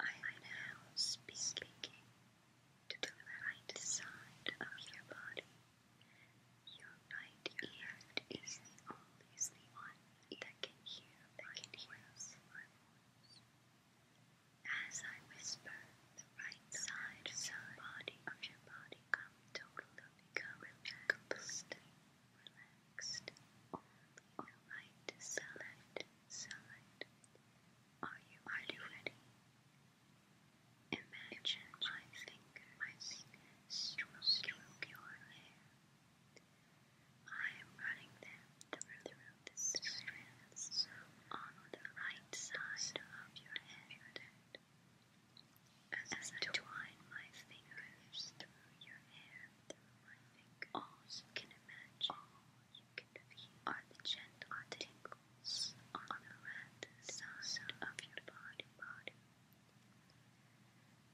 I am now speaking to the right side of your body. Your right ear is the only one that can hear my As I whisper, the right side, side of your body, come totally, become complete relaxed. Only select, select. Are you, are you ready? Imagine my finger, my finger stroke your hair. I am running them through, through the strands on the right side of your head as I twine my fingers through your hair, through my fingers, all you can imagine, are the gentle tingles on the red of your body. body.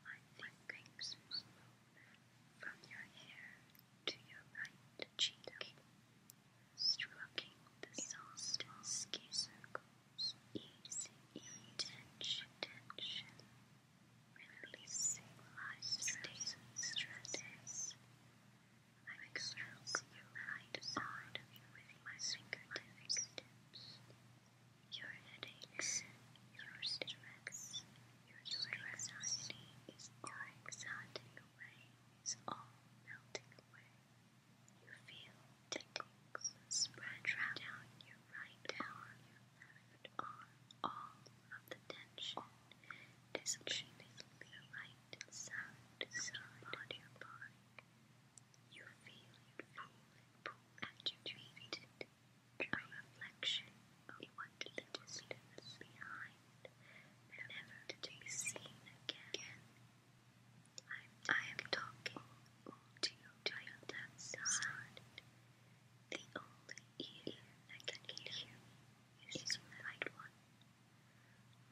My fingers move from your hair to your right cheek, stroking the soft skin easy tension, releasing stress, stresses. I stroke your right with my fingertips. Your headaches, your stress, your anxiety is all melting away. You feel tingles spread down your right arm, all of the tension is achieving the right side of your body. You feel it pull at your feet, a reflection of what distance behind, never to be seen again. I'm, talking to you right outside. The only ear that can hear me is the right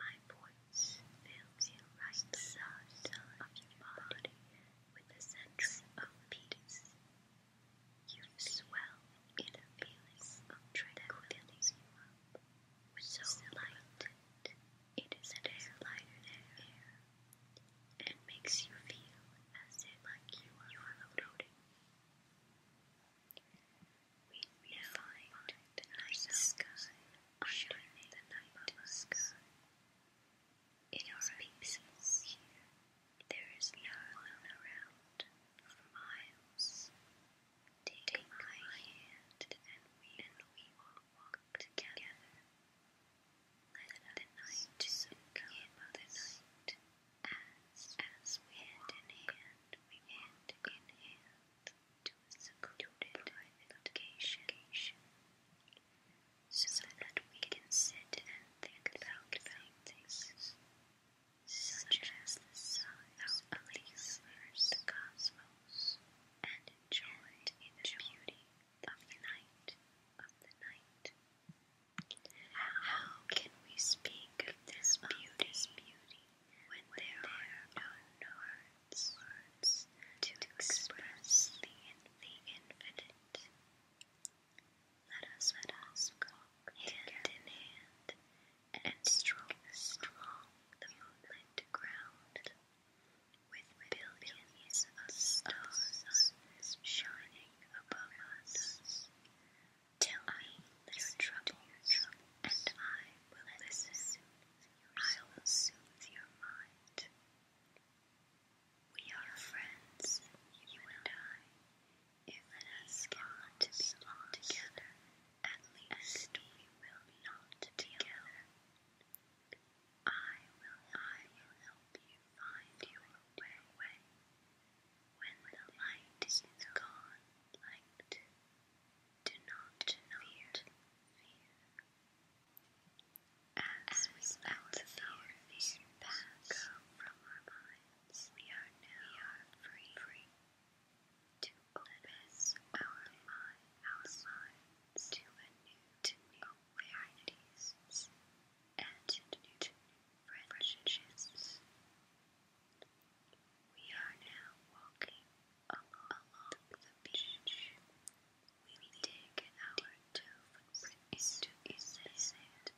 My voice fills you right the side of your body with a sense of peace. You swell in a of tranquility, so lighted it is an air lighter than air and makes you feel as if like you are floating. We now find the night sky underneath the night sky. It is peaceful here. There is no one around for miles. Take my hand and we, and we will walk together. Let the night sink in As, as we hand in hand, we hand in hand to a secluded private So that we can sit and think about things, such as the size of the universe, the cosmos, and enjoyed in the beauty of the night How can we speak of this beauty when, there, are no words, to, express the, infinite? Let us let us walk hand in hand and strong strong the moonlit ground with billions of stars shining above us. Tell me your troubles, and I will listen. I will soothe your mind. We are friends, you and I. If let us get to be together at least we will not together. I will, I will help you find your way. When, the light is gone, light, do not, do fear. fear. As, As fear, fear pass from our minds, we are now free. free to open our mind, our minds to a new, to new awareness and to new friendships. We are now walking along, along the beach. We dig our two footprints into the sand.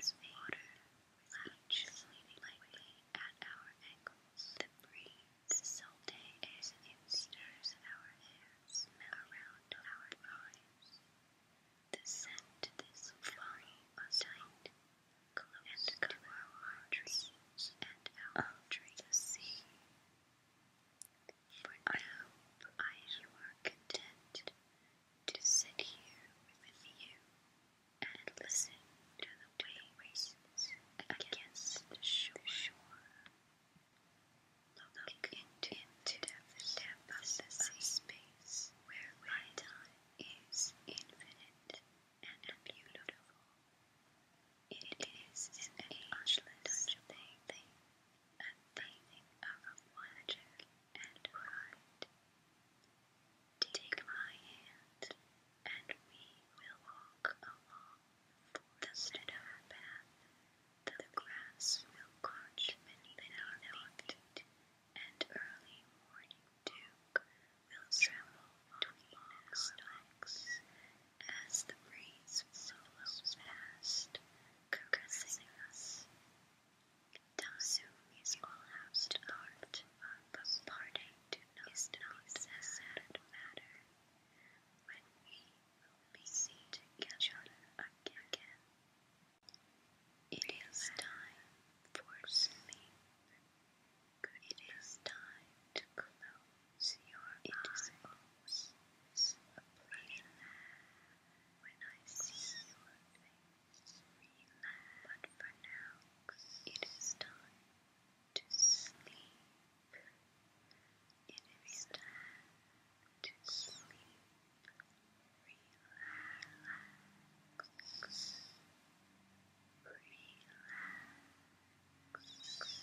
As water laps lightly at our ankles, the breeze salty as it stirs our hair, around our eyes. The scent is falling aside, close and to our dreams and our trees. The I hope you are content to sit here with you and listen to the waves against the shore. Look into the depth of space where time is infinite and beautiful. It is an ageless thing, a thing of wonder and right. Take my hand, and we will walk along the center path. The grass will crunch beneath our feet, and early morning dew will tremble between the stalks as the breeze blows past, caressing us. Daosu is all housed apart, but parting to no not a matter. When we will be seen together again, it is time for sleep. It is time to close your eyes. It is when I see you, but for now it is time to sleep. It is time to sleep. Relax. Relax.